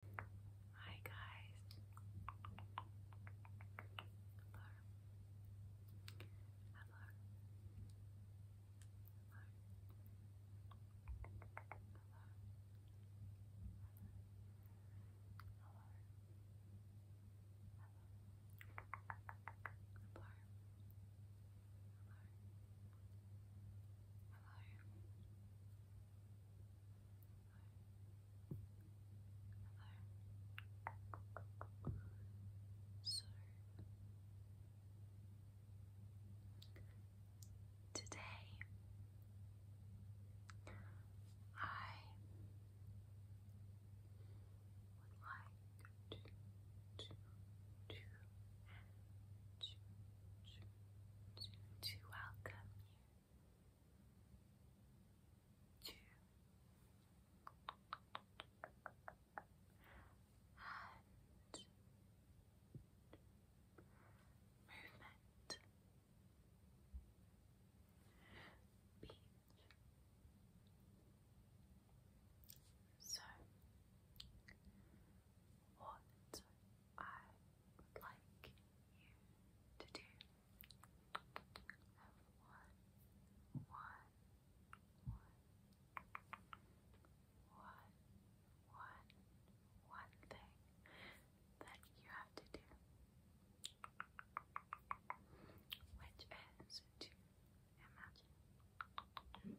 Hi guys. Hello. Hello. Hello. Hello. Hello. Hello. Hello. Hello. Hello. So today I would like to to to to to, to welcome you two, and movement, beach. So, what I like you to do. one, one, one, one, one, one thing that you have to do, which is to Imagine. Imagine.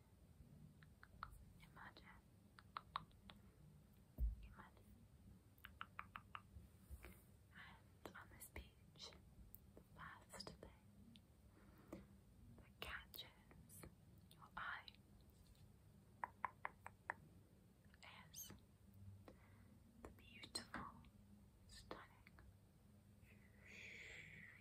Imagine. Imagine. And on this page, the last thing that catches your eye is the beautiful, stunning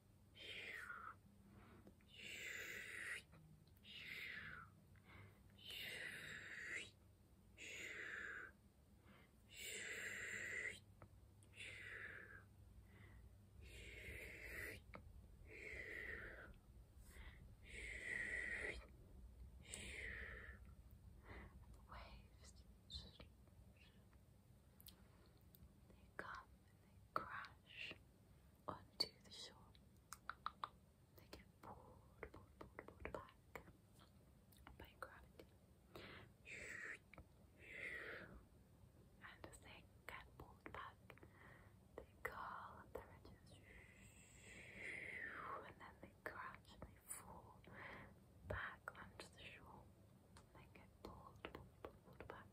Waves. They come and they crash onto the shore. They get pulled, pulled, pulled, pulled back by gravity. And as they get pulled back, they curl at their edges. And then they crash and they fall back onto the shore and get pulled, pulled, pulled back.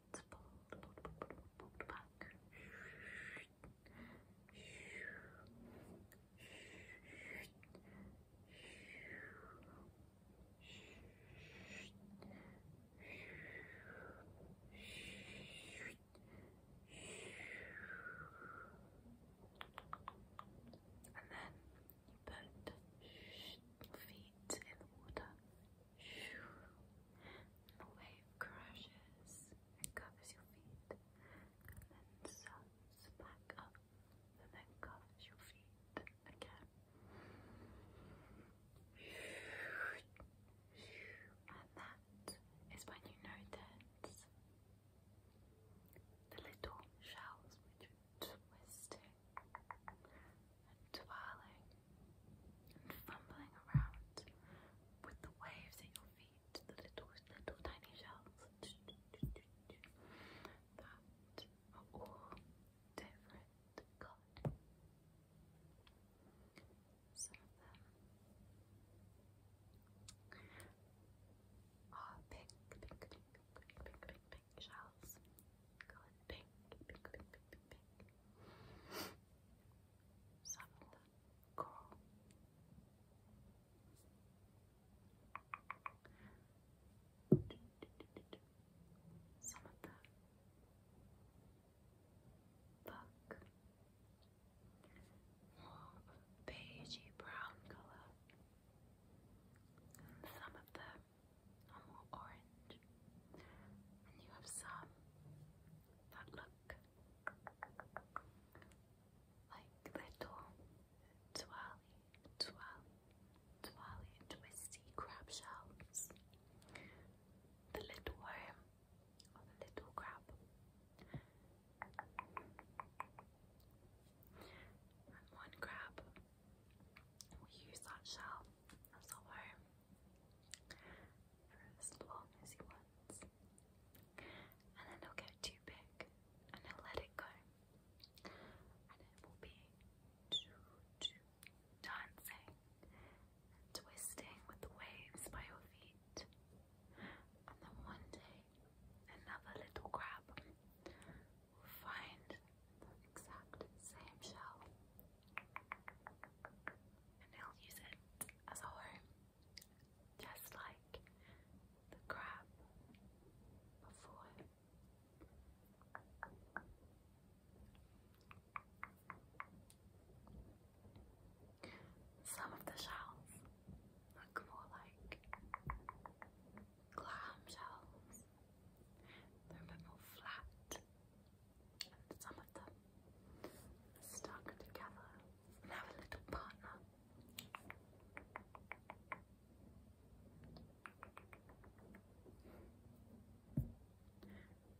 It's And then you put your feet in water. And the wave crashes and covers your feet, and then sucks back up, and then covers your feet again. And that is when you notice the little shells which are twisting and twirling and fumbling around with the waves at your feet, the little, little tiny shells that are all different coloured. Some of them are pink, pink, pink, pink, pink, pink, pink, shells. Go pink, pink, pink, pink, pink, Some of the coral. Some of the buck. More beigey brown color. some of the more orange, and you have some that look like little twirly, twirly, twirly, twisty crab shells. The little worm or the little crab. And one crab will use that shell as a worm for as long as he wants. And then he'll get too big and he'll let it go. And it will be dancing and twisting with the waves by your feet. And then one day, another little crab will find the exact same shell and he'll use it as a home, just like the crab before Some of the shells look more like clam shells. They're a bit more flat some of them stuck together and have a little partner.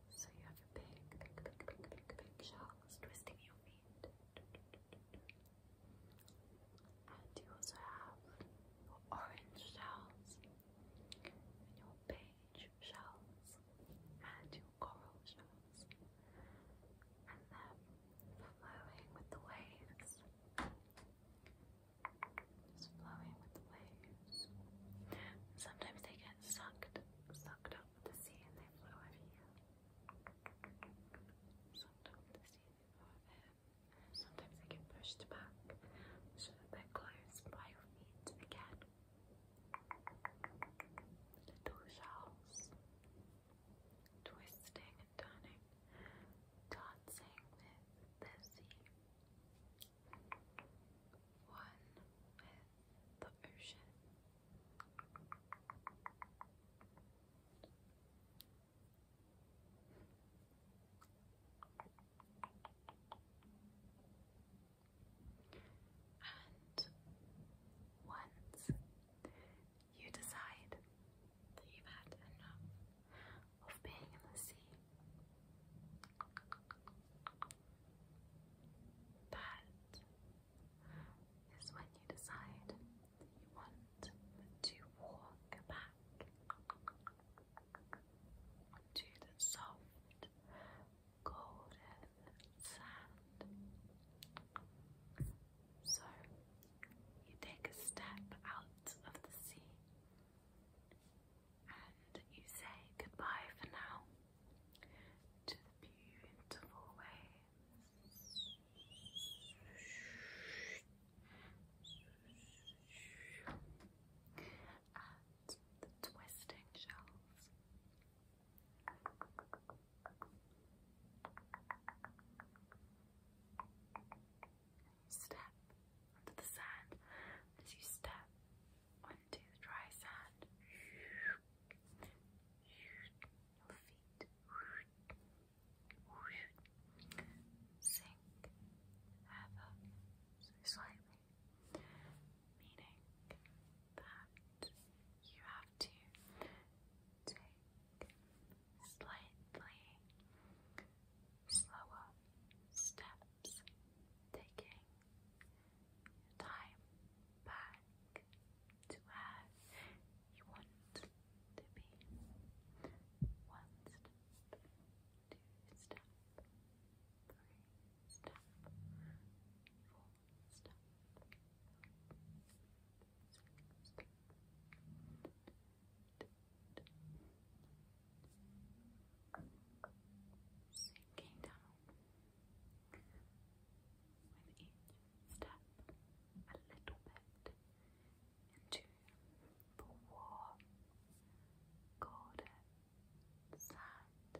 So you have big, big, big, big, big, big sharks twisting your feet. And you also have orange shells and your pink shells and your coral shells and them flowing flowing with the waves. Sometimes they get sucked sucked up with the sea and they flow over Sometimes they get pushed back so that they're closed by your feet again little shells, twisting and turning, dancing with the sea, one with the ocean. And once you decide that you've had enough of being in the sea, that is when you decide that you want to walk back to the soft, colder sand. So you take a step out of the sea and you say goodbye for now to the beautiful waves. The twisting shells. step onto the sand. As you step onto the dry sand, your feet sink ever slightly meaning that you have to take slightly slower steps, taking time back to where you want to be. One step, two step, three. Four, five, six, seven, eight, nine, ten, eleven, twelve, thirteen, fourteen, fifteen, sixteen, seventeen, eighteen, nineteen, twenty, twenty-one, twenty-two, twenty-three, twenty-four, twenty-five, twenty-six, twenty-seven, twenty-eight, twenty-nine, thirty, thirty-one, thirty-two, thirty-three, thirty-four, thirty-five, step, fourth step, second step, sinking down with each step a little bit into the warm, golden sand.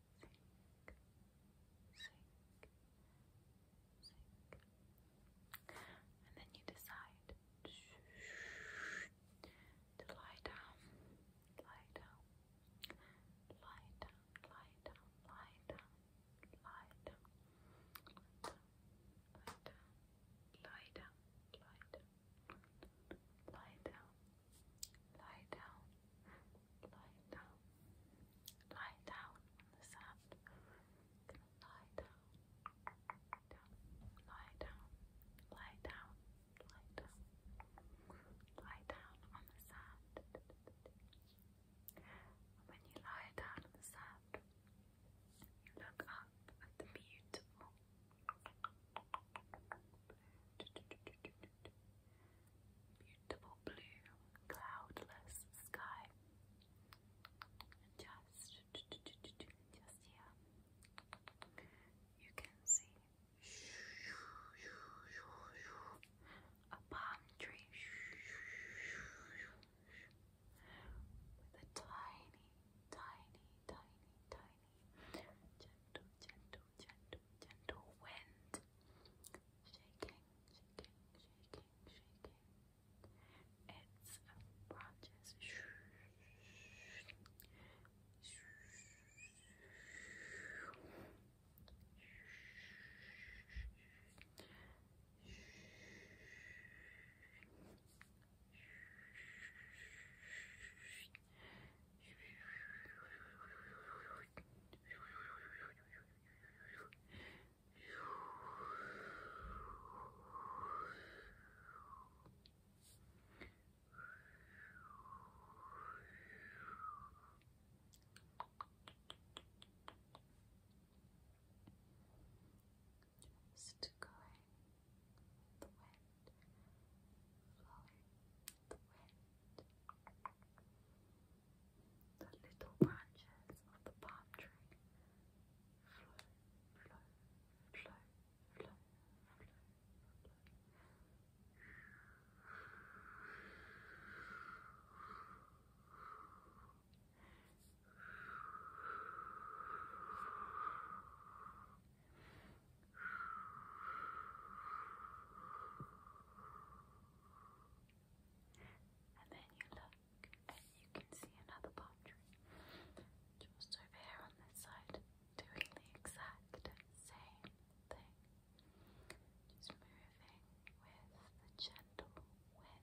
sink, And then you decide to lie down, lie down, lie down, lie down, lie down, lie down, lie down, lie down, lie down, lie down, lie down Lie down, lie down, lie down on the sand. Lie down, lie down, lie down, lie down, lie down on the sand. When you lie down on the sand, you look up at the beautiful beautiful blue, cloudless sky. And just, just here, you can see a palm tree with a tiny, tiny, tiny, tiny, gentle, gentle, gentle gentle wind. Shaking, shaking, shaking, shaking. Its branches just going with the wind flowing the wind. The little branches of the palm tree flow, flow, flow, flow, flow, flow. And then you look and you can see another palm tree just over here on this side doing the exact same thing. Just moving with the gentle wind.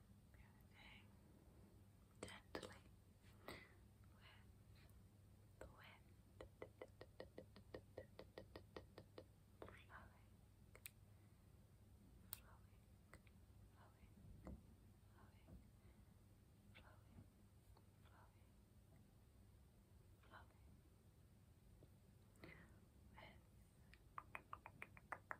moving gently with the wind flowing, flowing, flowing, flowing. Flowing, flowing, the wind.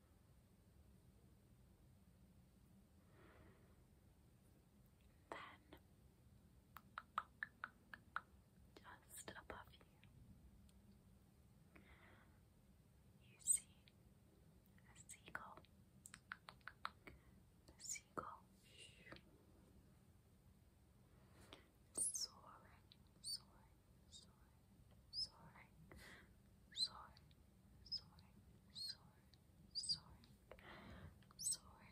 Then, just above you, you see a seagull. The seagull soaring, soaring, soaring, soaring, soaring, soaring, soaring, soaring,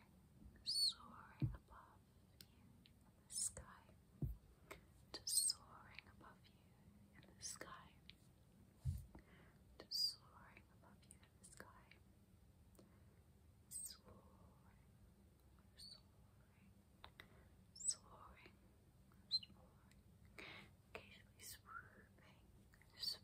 soaring above you in the sky, to soaring above you in the sky, to soaring above you in the sky, soaring, soaring, soaring, soaring, occasionally swooping,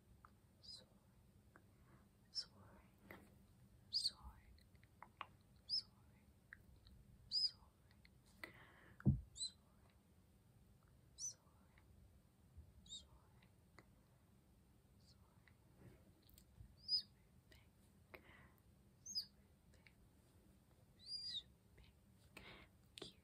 soaring, soaring, soaring, soaring, soaring, soaring, soaring, soaring, swooping, swooping, swooping,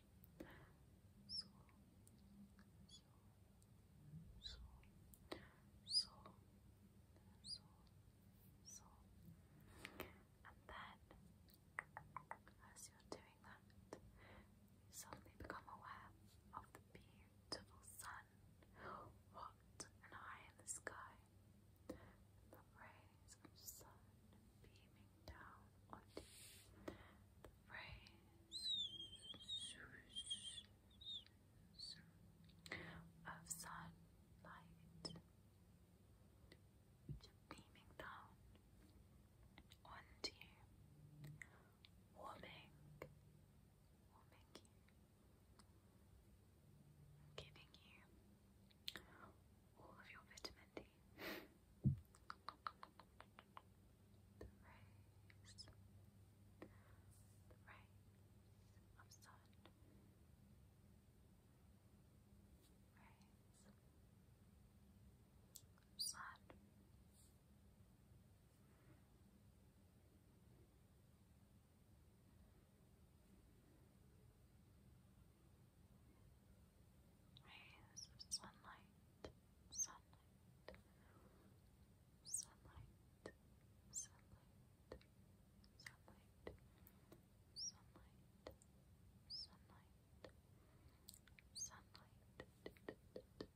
And then, as you're doing that, you suddenly become aware of the beautiful sun, hot and high in the sky, the rays of sun beaming down on the, rays of sunlight beaming down onto you, warming, warming you, giving you all of your vitamin D the rays, rays of sun. Rays of sunlight, sunlight, sunlight, sunlight, sunlight, sunlight, sunlight, sunlight. Sunlight,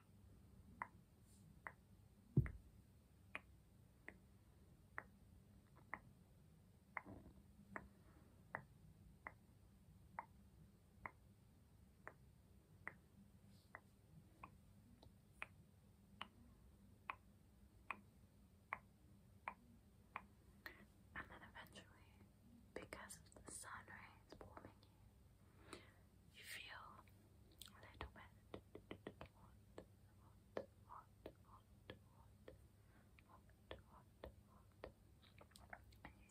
And then eventually, because the sun rays warming you, you feel a little bit And you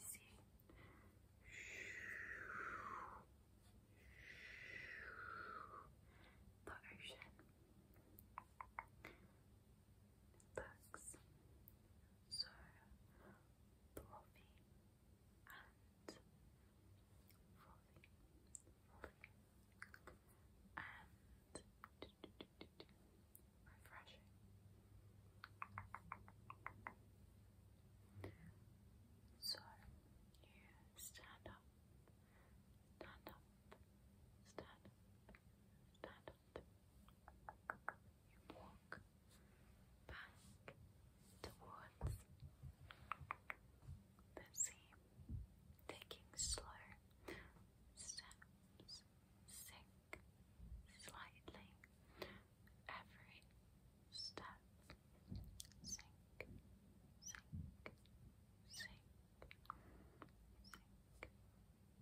see the ocean looks so fluffy and frothy, frothy, and refreshing. So you stand up, stand up, stand stand up. You walk back, towards the sea, taking slow steps, sink slightly every step, sink, sink, sink,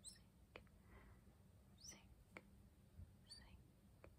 sink, sink, sink, sink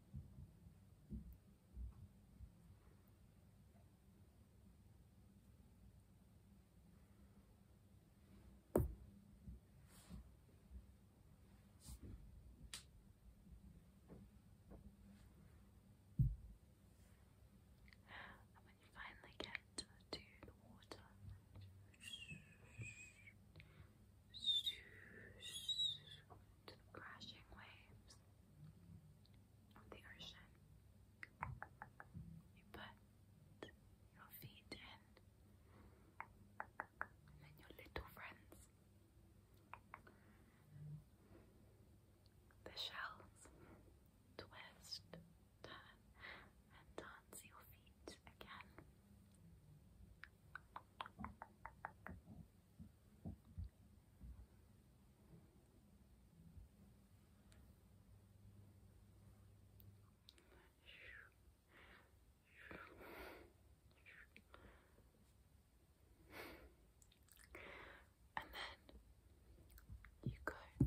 And when you finally get to the water, to the crashing waves of the ocean. You put your feet in, and your little friends, the shells twist, turn, and dance your feet again. And then you go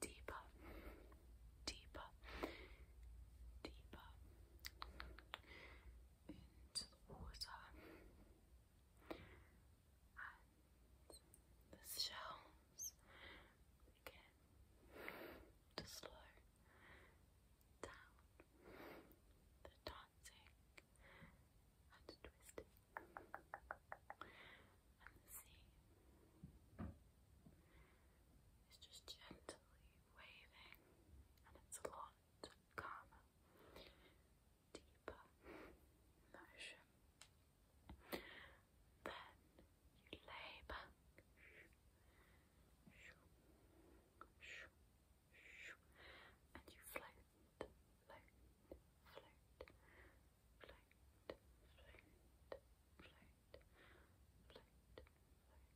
deeper deeper, deeper into the water. And the shells begin to slow down. they dancing and twisting. And the is just gentle gently waving, and it's a lot calmer, deeper motion. Then you lay And you float, float, float, float, float, float, float, float.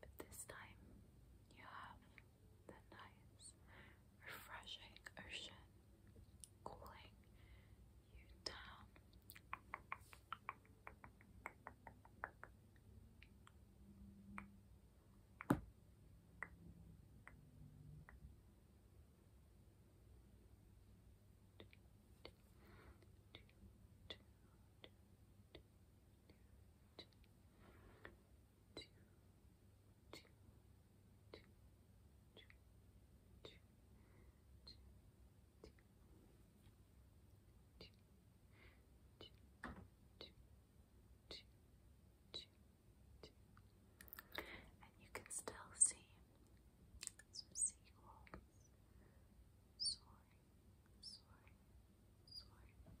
But this time, you have the nice, refreshing ocean cooling you down two, two, two, two, two, two, two, two, two, two, two, two. And you can still see some seagulls soaring, soaring, soaring, soaring,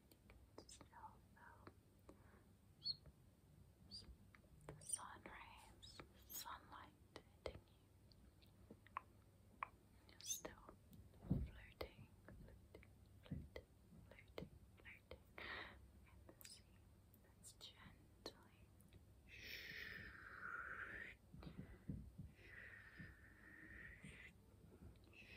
still though. The sun rays, sunlight hitting you. You're still floating, floating, floating, floating, floating in the sea that's gently. Gently.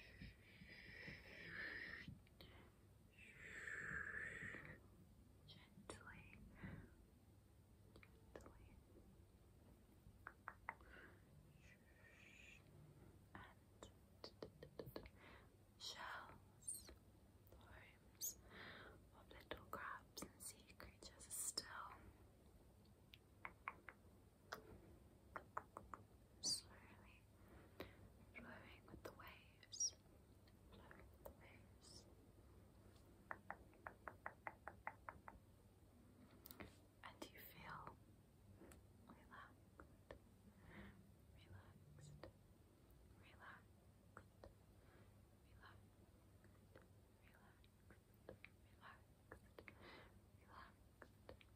Gently. And shells, worms of little crabs and sea creatures are still slowly flowing with the waves, flowing with the waves. And you feel relaxed, relaxed, relaxed, relaxed. Relaxed, relaxed, relaxed,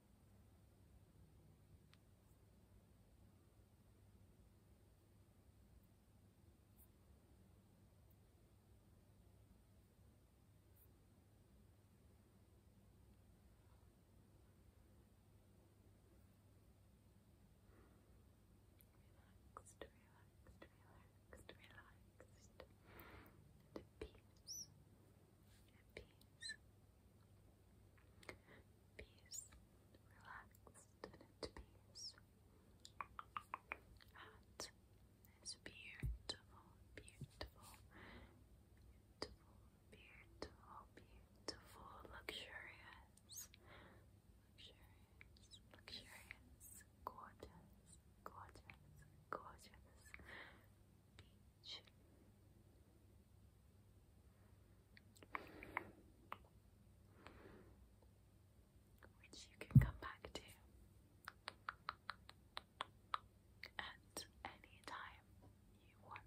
Relaxed, relaxed, relaxed, and at peace peace. Peace, relaxed and at peace. At this beautiful, beautiful, beautiful, beautiful, beautiful, luxurious, luxurious, luxurious, gorgeous, gorgeous, gorgeous, beach. Which you can come back to at any time you want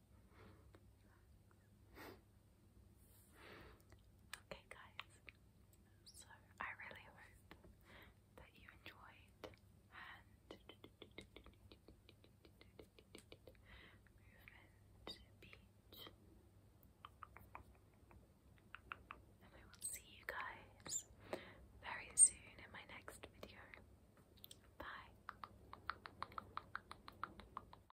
Okay, guys, so I really hope that you enjoyed hand movement beach, and I will see you guys very soon in my next video. Bye.